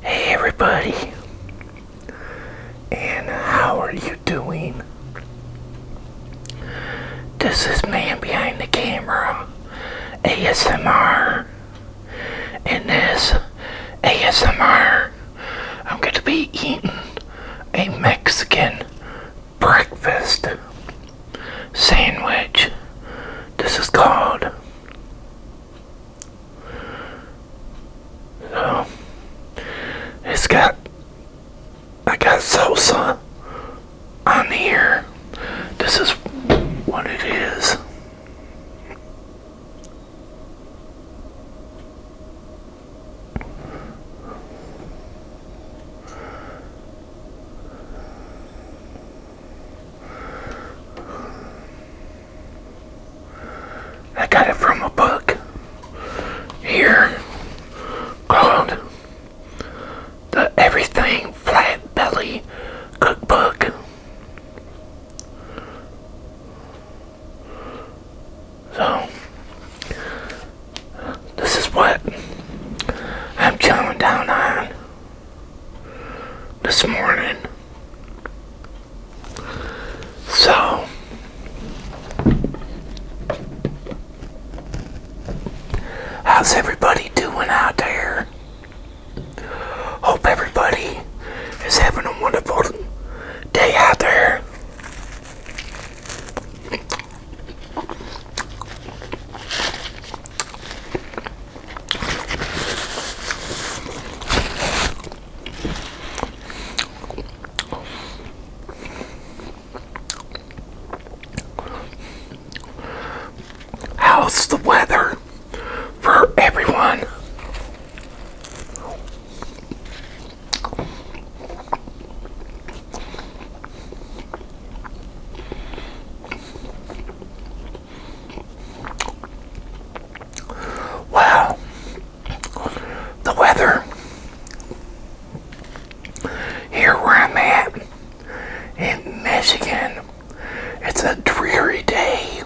Hey everybody, and how are you doing? This is Man Behind the Camera ASMR, and this ASMR, I'm going to be eating a Mexican breakfast sandwich. This is called so it's got I got salsa on here. This is what it is. I got it from a book here called The Everything Flat Belly Cookbook. So, this is what I'm chowing down on this morning. So, how's everybody doing out there? Hope everybody is having a wonderful day out there. How's the weather for everyone? Wow, the weather here where I'm at in Michigan, it's a dreary day.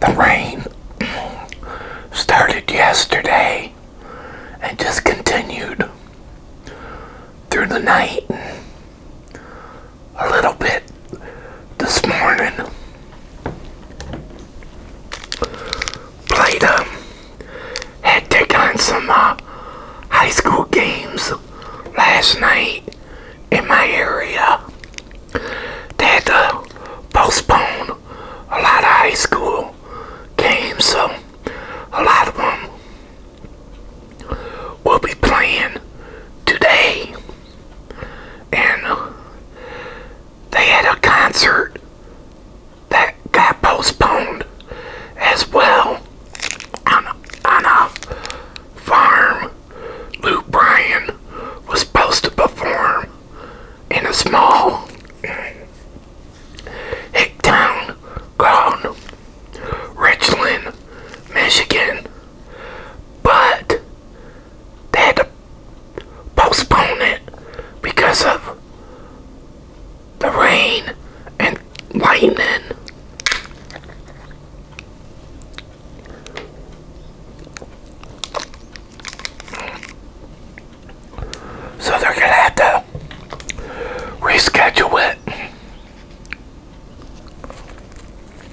The rain started yesterday and just continued through the night a little bit this morning. Played um had taken on some uh, high school games last night in my area. They had to postpone a lot of high school games, so a lot of them we will be playing today. And uh, they had a concert that got postponed as well on, a farm. Lou Bryan was supposed to perform in a small hick town called Richland, Michigan. But they had to postpone it because of the rain and lightning. So they're gonna have to reschedule it.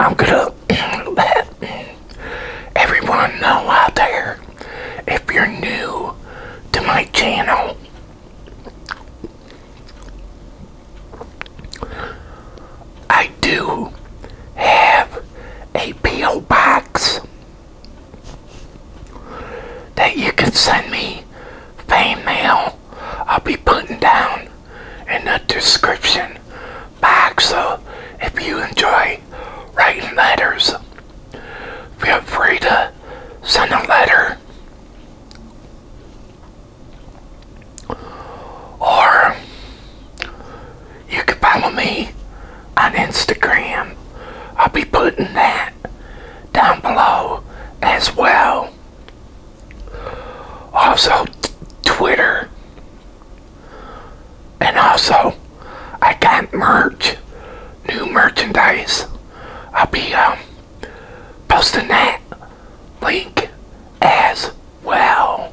I'm gonna let everyone know out there if you're new to my channel I do have a P.O. box that you can send me fan mail. I'll be putting down in the description box. So if you enjoy writing letters, feel free to send a letter. Or you can follow me on Instagram. I'll be putting that down below as well. Also, Twitter. And also, I got merch, new merchandise. I'll be um, posting that link as well.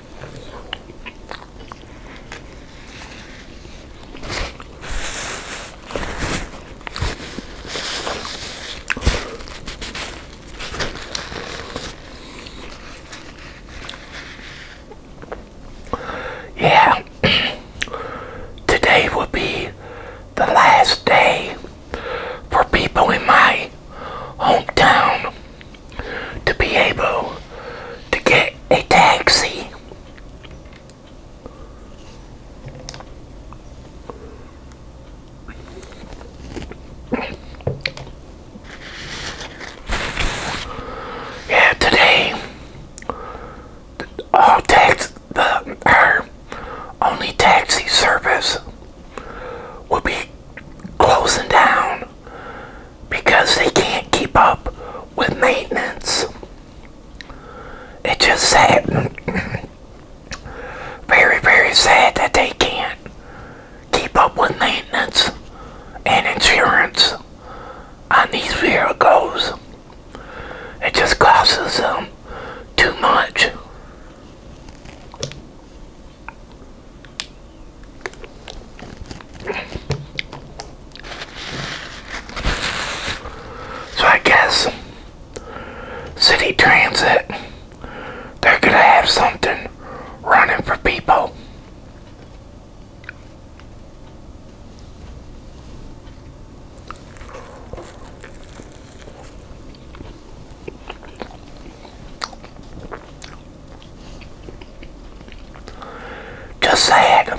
Yeah, today will be the last day for people in my hometown to be able to get a taxi. Yeah, today our only taxi service will be closing down because they can't keep up with maintenance. It's just sad. very, very sad that they can't keep up with maintenance and insurance on these vehicles. It just costs them too much. So I guess city transit, they're gonna have something running for people. Just sad.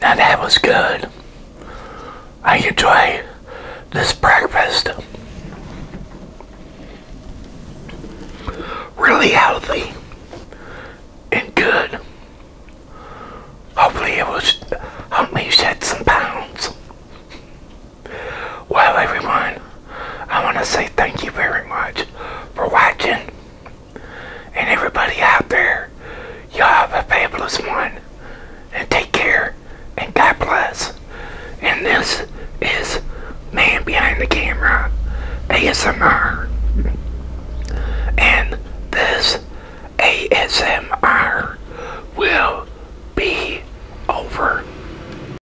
that was good. I enjoy this breakfast. Really healthy and good. Hopefully it was help me shed some pounds. Well, everyone, I want to say thank you very much for watching. And everybody out there, y'all have a fabulous one. And take care. And God bless. And this is Man Behind the Camera ASMR. And this ASMR will be over.